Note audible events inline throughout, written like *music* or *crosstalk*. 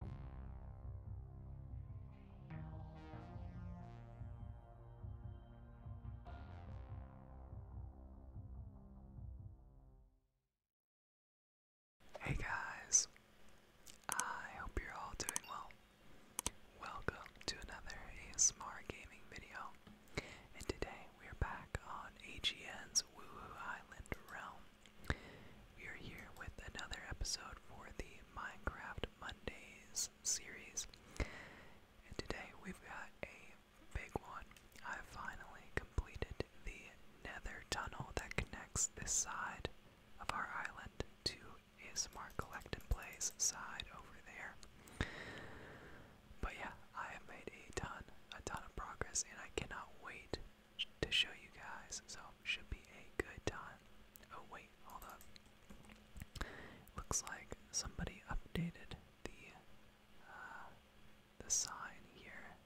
Hey guys, I hope you're all doing well. Welcome to another ASMR gaming video, and today we are back on AGN's Woo Woo Island Realm. We are here with another episode for the Minecraft Mondays series. And today we've got a big one. I finally completed the nether tunnel that connects this side of our island to ASMR Collect and Play's side over there. But yeah, I have made a ton, a ton of progress, and I cannot wait to show you guys, so should be a good time. Oh wait, hold up. Looks like somebody updated the uh, the sign here,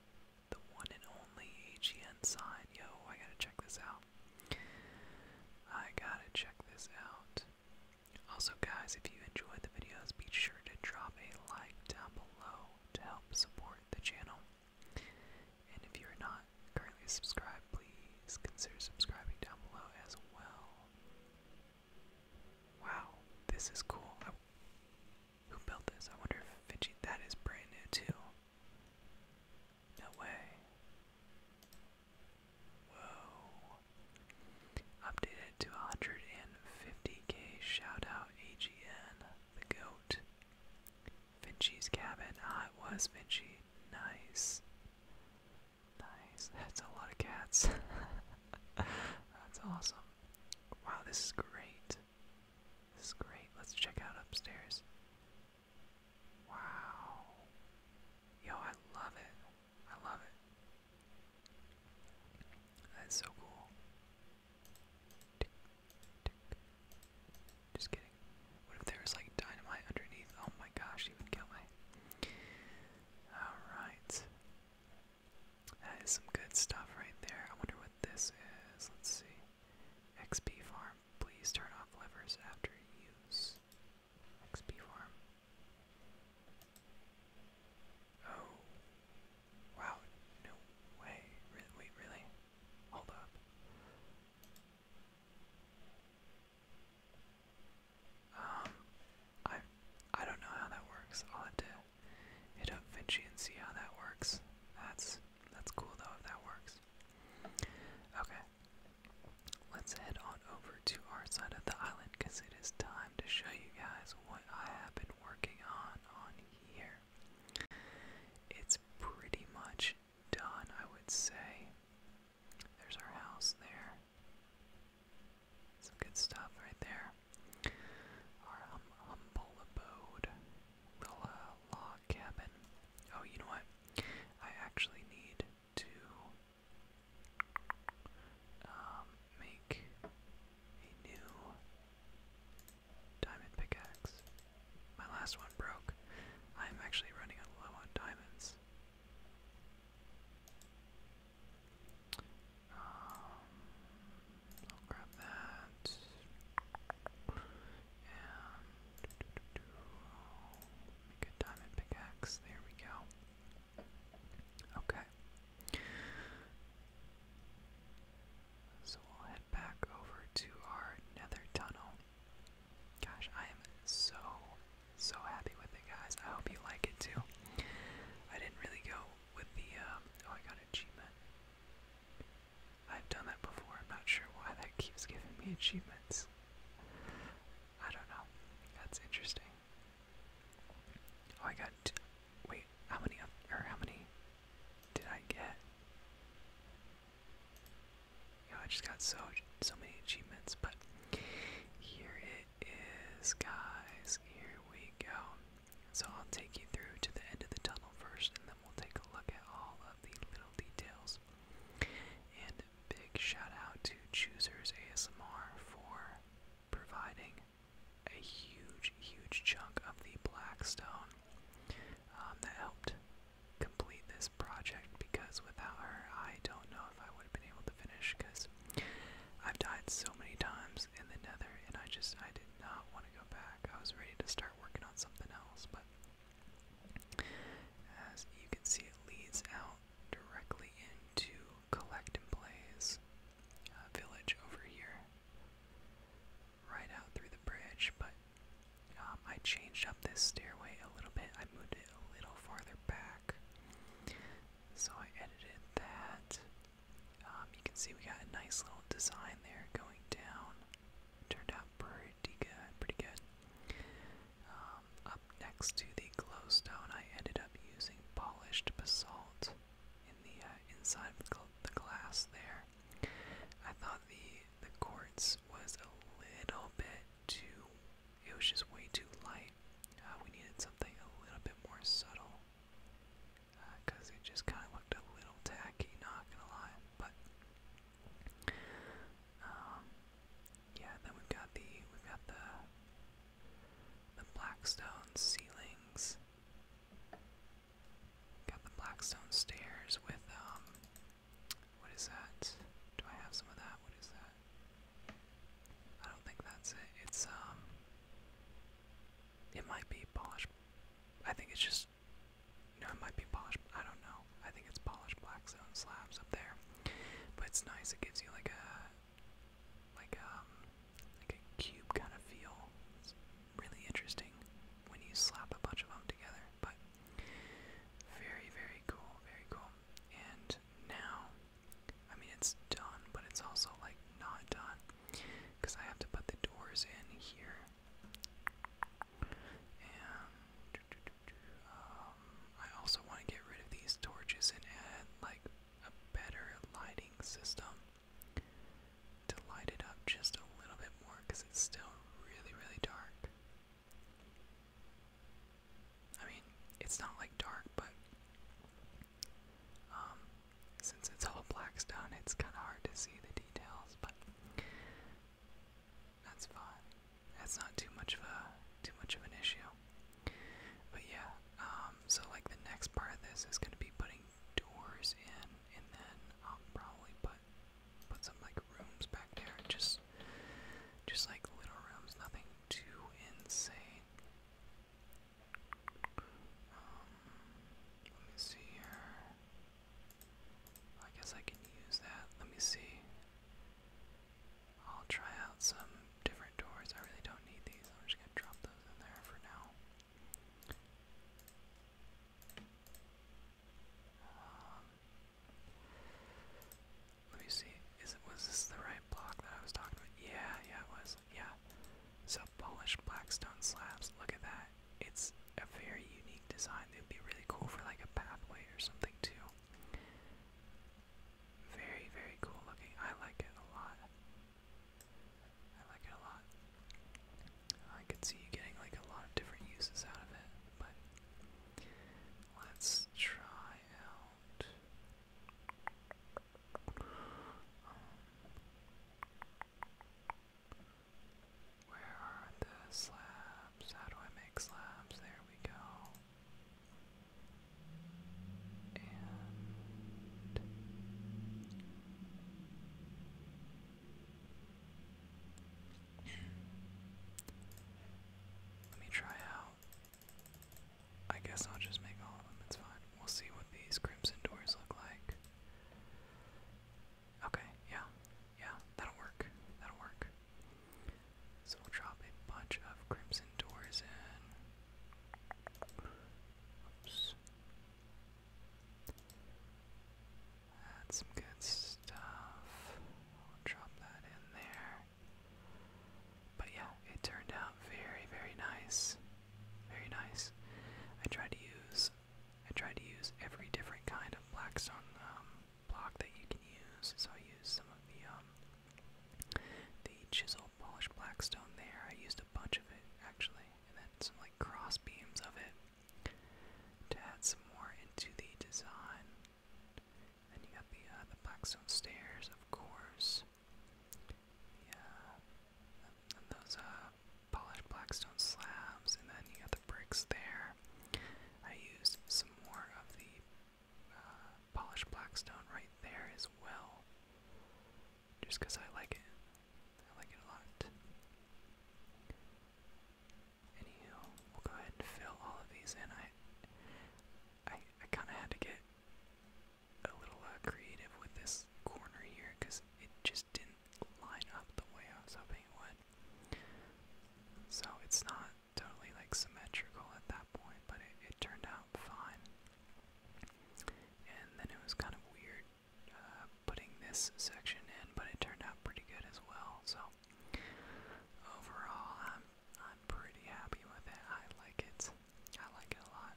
the one and only AGN sign. Yo, I gotta check this out. I gotta check this out. Also, guys, if you enjoyed the videos, be sure to drop a like down below to help support the channel. And if you are not currently subscribed, please consider subscribing down below as well. Wow, this is cool. who built this? I wonder if Vinci. That is brand new too. No way. Whoa. Updated to 150k. Shout out AGN, the goat. Vinci's cabin. Ah, it was Vinci. Nice. Nice. That's a lot of cats. *laughs* That's awesome. Wow, this is great. This is great. Let's check out upstairs. Wow. Yo, I love it. I love it. That's so cool. Just kidding. What if there was like dynamite underneath? Oh my gosh, he would kill me. Alright. That is some good stuff right there. I wonder what this is. Let's see. XP farm. Please turn off levers after use. XP farm. Oh, Wow, no way. wait, really? Hold up. Um, I I don't know how that works. I'll have to hit up Vinci and see how that works. That's that's cool though if that works. Okay, let's head on over to our side of the island because it is time to show you guys what I have been working on on here. It's pretty much done, I would say. There's our house there. Some good stuff right there. Our humble abode. Little uh, log cabin. Oh, you know what? I actually need to um, make a new Diamond pickaxe. My last one broke. I'm actually running low on diamonds. Um, I'll grab that. And make a diamond pickaxe. There we go. Okay. So we'll head back over to our nether tunnel. Gosh, I am so, so happy with it, guys. I hope you like it too. I didn't really go with the, um, oh, I got an achievement. I've done that before. I'm not sure why that keeps giving me achievements. I don't know. That's interesting. Oh, I got Wait, how many of, or how many did I get? You I just got so so many achievements, but here it is, guys. Here we go. So I'll take you through to the end of the tunnel first, and then we'll take a look at all of the little details. And big shout out to Choosers ASMR for providing a huge, huge chunk of the black stone um, that helped complete this project because without her, I don't know if I would have been able to finish because I've died so many times in the nether and I just, I did not want to go back. I was ready to start working on something else, but as you can see, it leads out directly into collect and plays. Uh, village over here, right out through the bridge. But um, I changed up this stairway a little bit. I moved it a little farther back, so I edited that. Um, you can see we got a nice little design there going down. turned out pretty good, pretty good. Um, up next to the glowstone, I ended up using polished basalt in the uh, inside of the glass there. I thought the the quartz was a little bit too. It was just way too light. Uh, we needed something a little bit more subtle, because uh, it just kind of looked a little tacky. Not gonna lie, but um, yeah. Then we've got the we've got the the blackstone ceilings. Got the blackstone stairs with, um, what is that? Do I have some of that? What is that? I don't think that's it. It's, um, it might be polished. I think it's just, you know, it might be polished. I don't know. I think it's polished blackstone slabs up there. But it's nice. It gives you like a, like um like a cube kind of feel. really interesting when you slap a bunch of them together, but very very cool, very cool. And now, I mean it's done, but it's also like not done because I have to put the doors in here. And um, I also want to get rid of these torches and add like a better lighting system to light it up just a little bit more because it's still really, really dark. I mean, it's not like dark, but um, since it's all black stone, it's kind of hard to see the details, but that's fine. That's not too much of a too much of an issue. But yeah, um, um, so like the next part of this is gonna be putting doors in, and then I'll probably put put some like rooms back there, just just like little rooms, nothing too insane. Um, let me see here. I guess I can use that. Let me see. I'll try out some different doors. I really don't need these. I'm just gonna drop um, let me see. Is it was this the right block that I was talking about? Yeah, yeah, it was. Yeah. So polished black stone slabs. Look at that. It's a very unique design. It'd be really cool for like a pathway or something too. Very, very cool looking. I like it a lot. I like it a lot. I could see you getting like a lot of different uses out of it, but let's try out. Um, where are the slabs? How do I make slabs? There we go let me try out. I guess I'll just make all of them, it's fine. We'll see what these crimson doors look like. Okay, yeah, yeah, that'll work. That'll work. So we'll drop a bunch of crimson doors in. Oops. some good stuff. drop that in there. But yeah, it turned out very, very nice. Very nice. I tried to use I tried to use every different kind of blackstone um block that you can use. So I used some of the um, the chisel polished black there, I used a bunch of it actually, and then some like cross beams of it to add some more into the design. And you got the uh, the blackstone stairs, of course. Yeah, those uh, polished blackstone slabs, and then you got the bricks there. I used some more of the uh, black stone right there as well. Just because I like it. I like it a lot. Anywho, we'll go ahead and fill all of these in. I, I, I kind of had to get a little uh, creative with this corner here because it just didn't line up the way I was hoping it would. So it's not totally like symmetrical at that point, but it turned out fine. And then it was kind of weird uh, putting this section in, but it turned out pretty good as well. So overall, I'm I'm pretty happy with it. I like it. I like it a lot.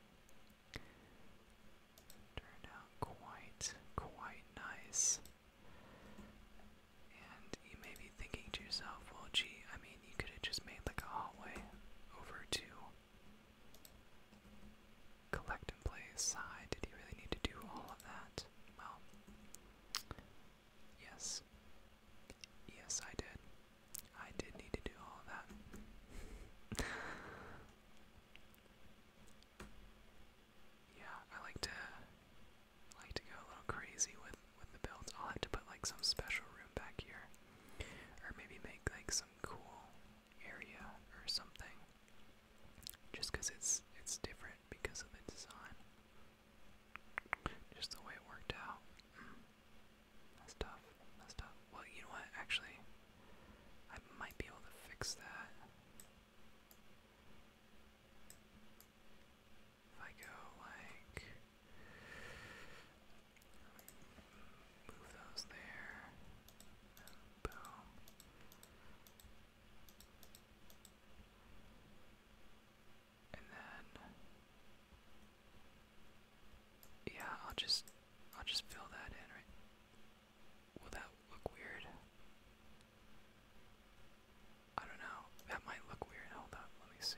Turned out quite quite nice. And you may be thinking to yourself, well, gee, I mean mean, you could have just made like a hallway over to collect and play side. Did you really need to do all of that? Well, yes. Yes, I did. I did need to do all of that. *laughs* yeah, I like to like to go a little crazy with with the builds. I'll have to put like some special room back here, or maybe make like some cool area or something. Just because it's it's different because of the design, just the way it worked out. Mm. That's tough. That's tough. Well, you know what? Actually, I might be able to fix that. If I go like move those there, and boom. And then yeah, I'll just I'll just fill that in, right? Will that look weird? I don't know. That might look weird. Hold up, let me see.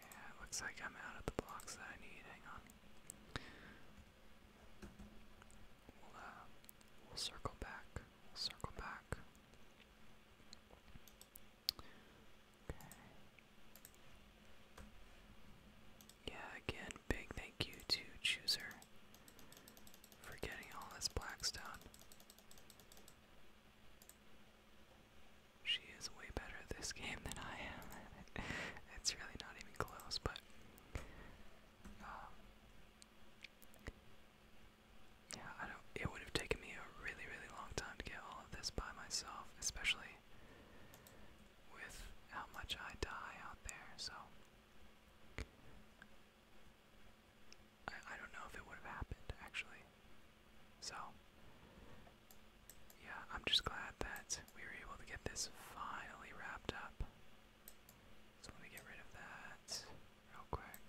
Yeah, it looks like I'm out of the blocks that I need. Hang on. We'll, uh, circle back. circle back. Okay. Yeah, again, big thank you to Chooser for getting all this black stone. She is way better at this game than I am. *laughs* it's really not even close, but. Um, yeah, I don't. It would have taken me a really, really long time to get all of this by myself, especially with how much I die out there. So, I, I don't know if it would have happened, actually. So, yeah, I'm just glad that we were able to get this finally wrapped up. So, let me get rid of that real quick.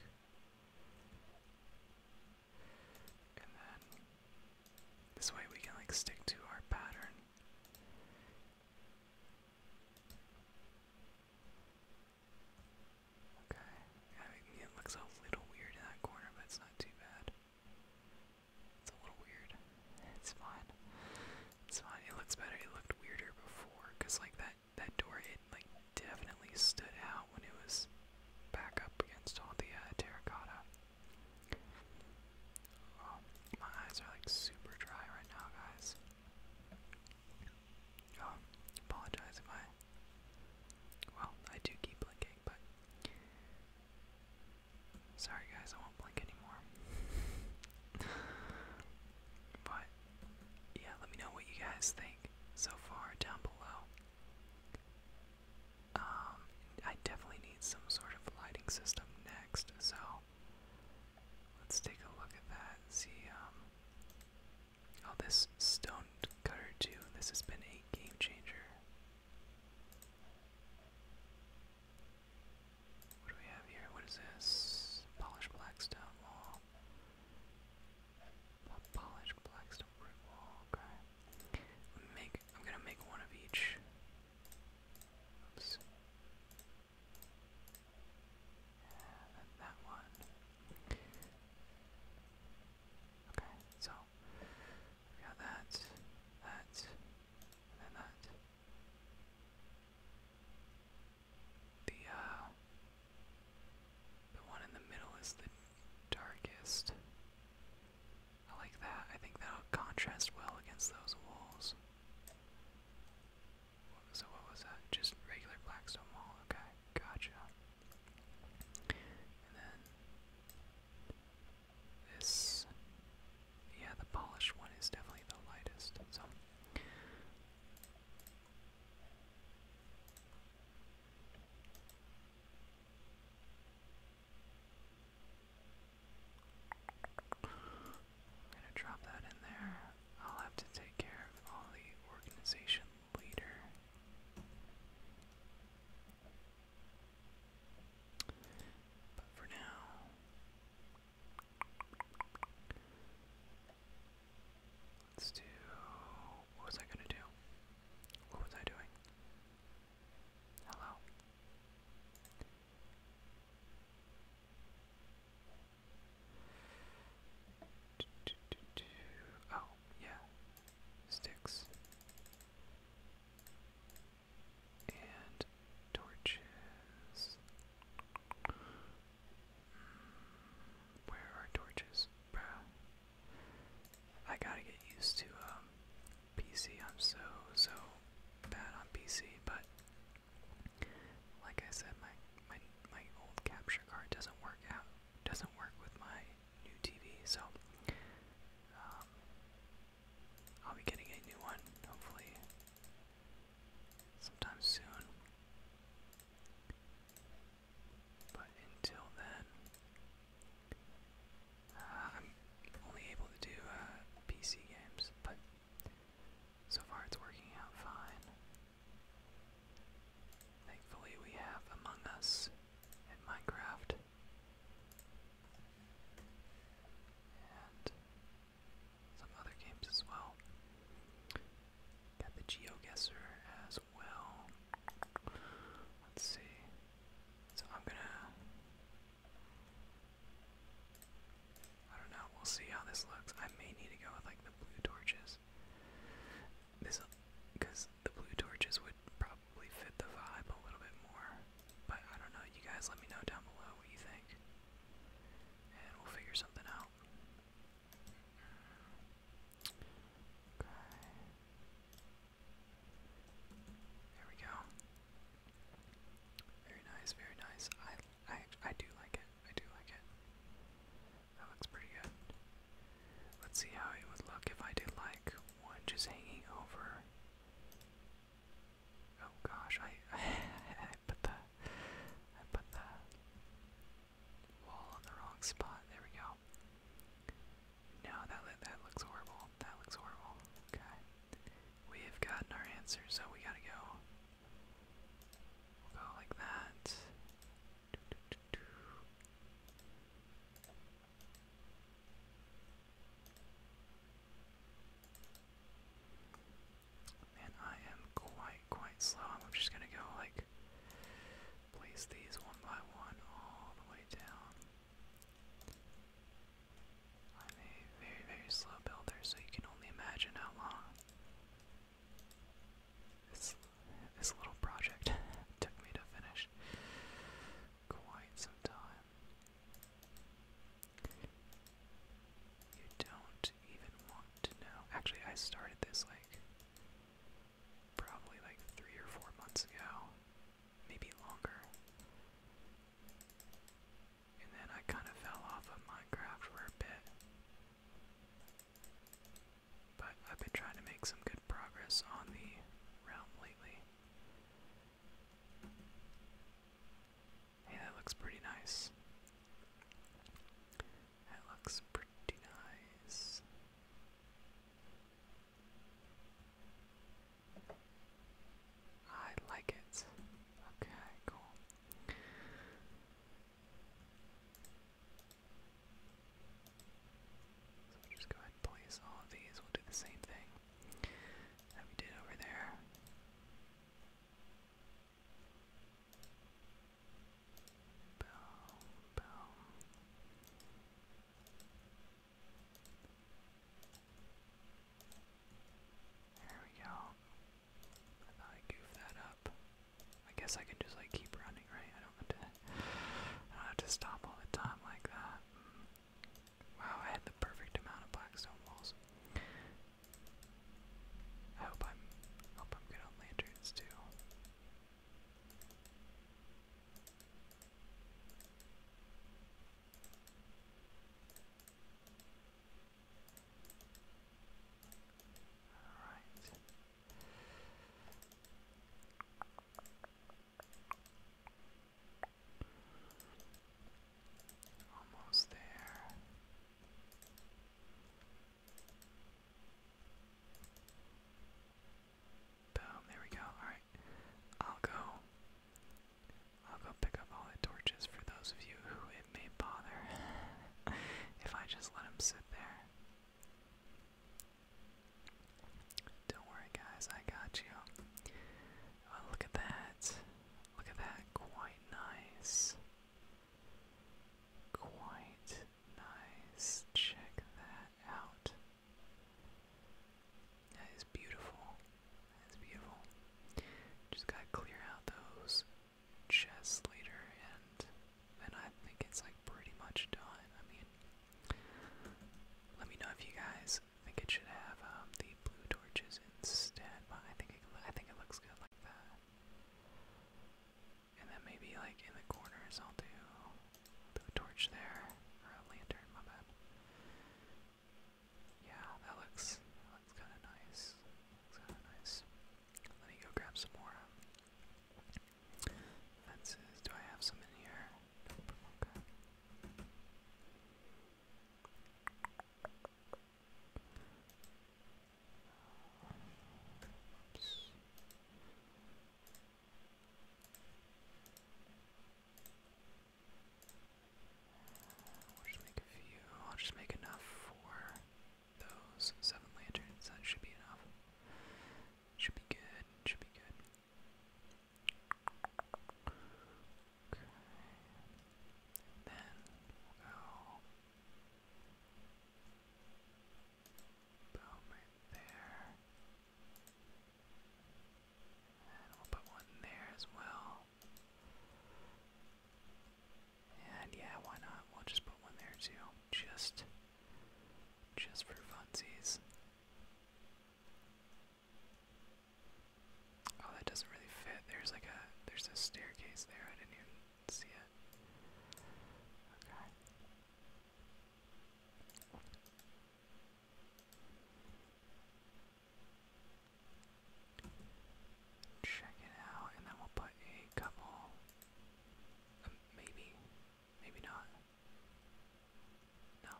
And then, this way we can like stick to our pattern. Okay. it looks a little weird in that corner, but it's not too bad. It's a little weird. It's fine. It's fine. It looks better. It looked weirder before, cause like that that door, it like definitely stood out when it was back up against all the uh, terracotta. Um, my eyes are like super dry right now, guys. Oh, apologize if I. Well, I do keep blinking, but. Sorry, guys, I won't blink anymore. *laughs* but, yeah, let me know what you guys think so far down below. Um, I definitely need some sort of lighting system next, so let's take a look at that. See, um, Oh, this stone cutter too. This has been a game changer. What do we have here? What is this? Polished blackstone wall. Polished blackstone brick wall. Okay. Make. I'm gonna make one of each. And then that one. Okay, so we got that, that, and that. The uh, the one in the middle is the darkest. I like that. I think that'll contrast well against those walls. So what was that? Just regular blackstone wall. Okay, gotcha. And then this, yeah, the polished one is definitely the lightest. So. I'm gonna drop that in there. I'll have to take care of all the organization later. But for now, let's do. What was I gonna do? What was I doing? Hello. Oh, yeah. Sticks. And torches. Mm, where are torches? Bruh. I gotta get used to um PC. I'm so so bad on PC, but like I said, my my my old capture card doesn't work out, doesn't work with my new TV, so um, I'll be getting a new one hopefully sometime soon. But until then, uh, I'm only able to do uh, PC games, but so far, it's working out fine. Thankfully, we have Among Us in Minecraft. And some other games as well. Got the GeoGuessr as well. Let's see. So I'm gonna I don't know. We'll see how this looks. I may need to go with like the blue torches. This, because the blue torches would probably fit the vibe a little bit more. But I don't know. You guys, let me know down below what you think, and we'll figure something out. Okay. There we go. Very nice, very nice. I I I do like it. I do like it. That looks pretty good. Let's see how it would look if I did like one just hanging over. Oh gosh, I *laughs* I put the I put the wall on the wrong spot. There we go. Now that that looks horrible. That looks horrible. Okay. We have gotten our answer, so we gotta go. go like that. And I am quite, quite slow. I'm just gonna go like place these one by one all the way down. I'm a very, very slow builder, so you can only imagine how long this, this little project *laughs* took me to finish. Quite some time. You don't even want to know. Actually, I started this like probably like three or four months ago, maybe longer. And then I kind of fell off of Minecraft for a bit. But I've been trying to make some good progress on the realm lately. Hey, that looks pretty nice. That looks pretty nice. I like it. Okay, cool. So just go ahead and place all of these. We'll do the same thing that we did over there. Boom, boom. There we go. I thought I goofed that up. I guess I can just like keep running, right? I don't have to I don't have to stop all the time like that. Mm. Wow, I had the perfect amount of blackstone walls. I hope I'm hope I'm good on lanterns too. Alright. Almost there. Boom, there we go. Alright. I'll go I'll go pick up all the torches for those of you who it may bother *laughs* if I just let them sit there. Don't worry, guys, I got you. Oh, look at that. Look at that. Quite nice. Quite nice. Check that out it's beautiful. That is beautiful. Just gotta clear out those chests later, and then I think it's like pretty much done. I mean, let me know if you guys think it should have um, the blue torches instead, but I think I think it looks good like that. And then maybe like in the corners, I'll do blue torch there, or a lantern. My bad. Yeah, that looks that looks kind of nice. Looks kind of nice. Let me go grab some more. Um, Do I have some in here? Nope. Okay. We'll just make a few. I'll just make enough for those seven lanterns. That should be enough. Should be good. Should be good. then we'll go. Boom, right there. And we'll put one there as well. And yeah, why not? We'll just put one there too. Just just for funsies. Oh, that doesn't really fit. There's like a there's a staircase there. I didn't even see it. Okay. Check it out, and then we'll put a couple. Um, maybe, maybe not. No.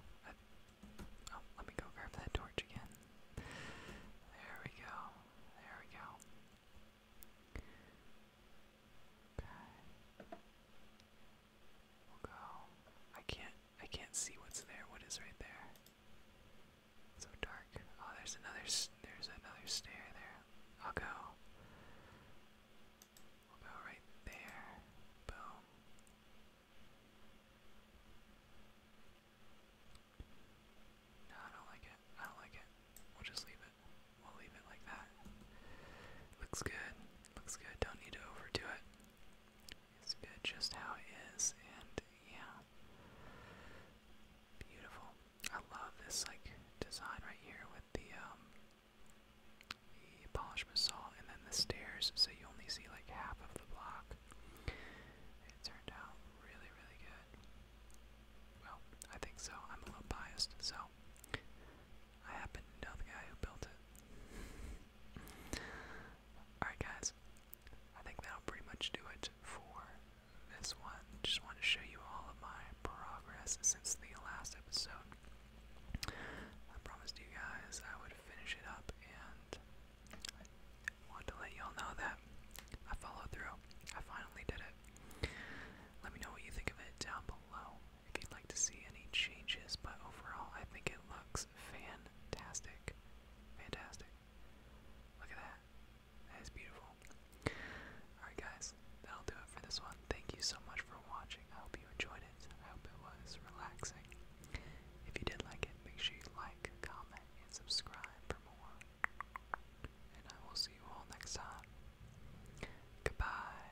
oh, let me go grab that torch again. There we go. There we go. Okay. We'll go. I can't. I can't see what's there. What is right there? so dark. Oh, there's another. There's another stair there. I'll go. I'll go right there. Boom. No, I don't like it. I don't like it. We'll just leave it. We'll leave it like that. Looks good. Looks good. Don't need to overdo it is good just how it is, and yeah, beautiful. I love this like design right here with the um, the polished basalt, and then the stairs, so you only see like half of the block. It turned out really, really good. Well, I think so. I'm a little biased, so I happen to know the guy who built it. Alright, guys, I think that'll pretty much do it for this one. Just want to show you all of my progress since the last episode. I promised you guys I would finish it up, and I want to let y'all know that I followed through. I finally did it. Let me know what you think of it down below if you'd like to see any changes, but overall, I think it looks fan Fantastic. Fantastic. Look at that. That is beautiful. Alright, guys, that'll do it for this one. Thank you so much for watching. I hope you enjoyed it. I hope it was relaxing. If you did like it, make sure you like, comment, and subscribe for more. And I will see you all next time. Goodbye.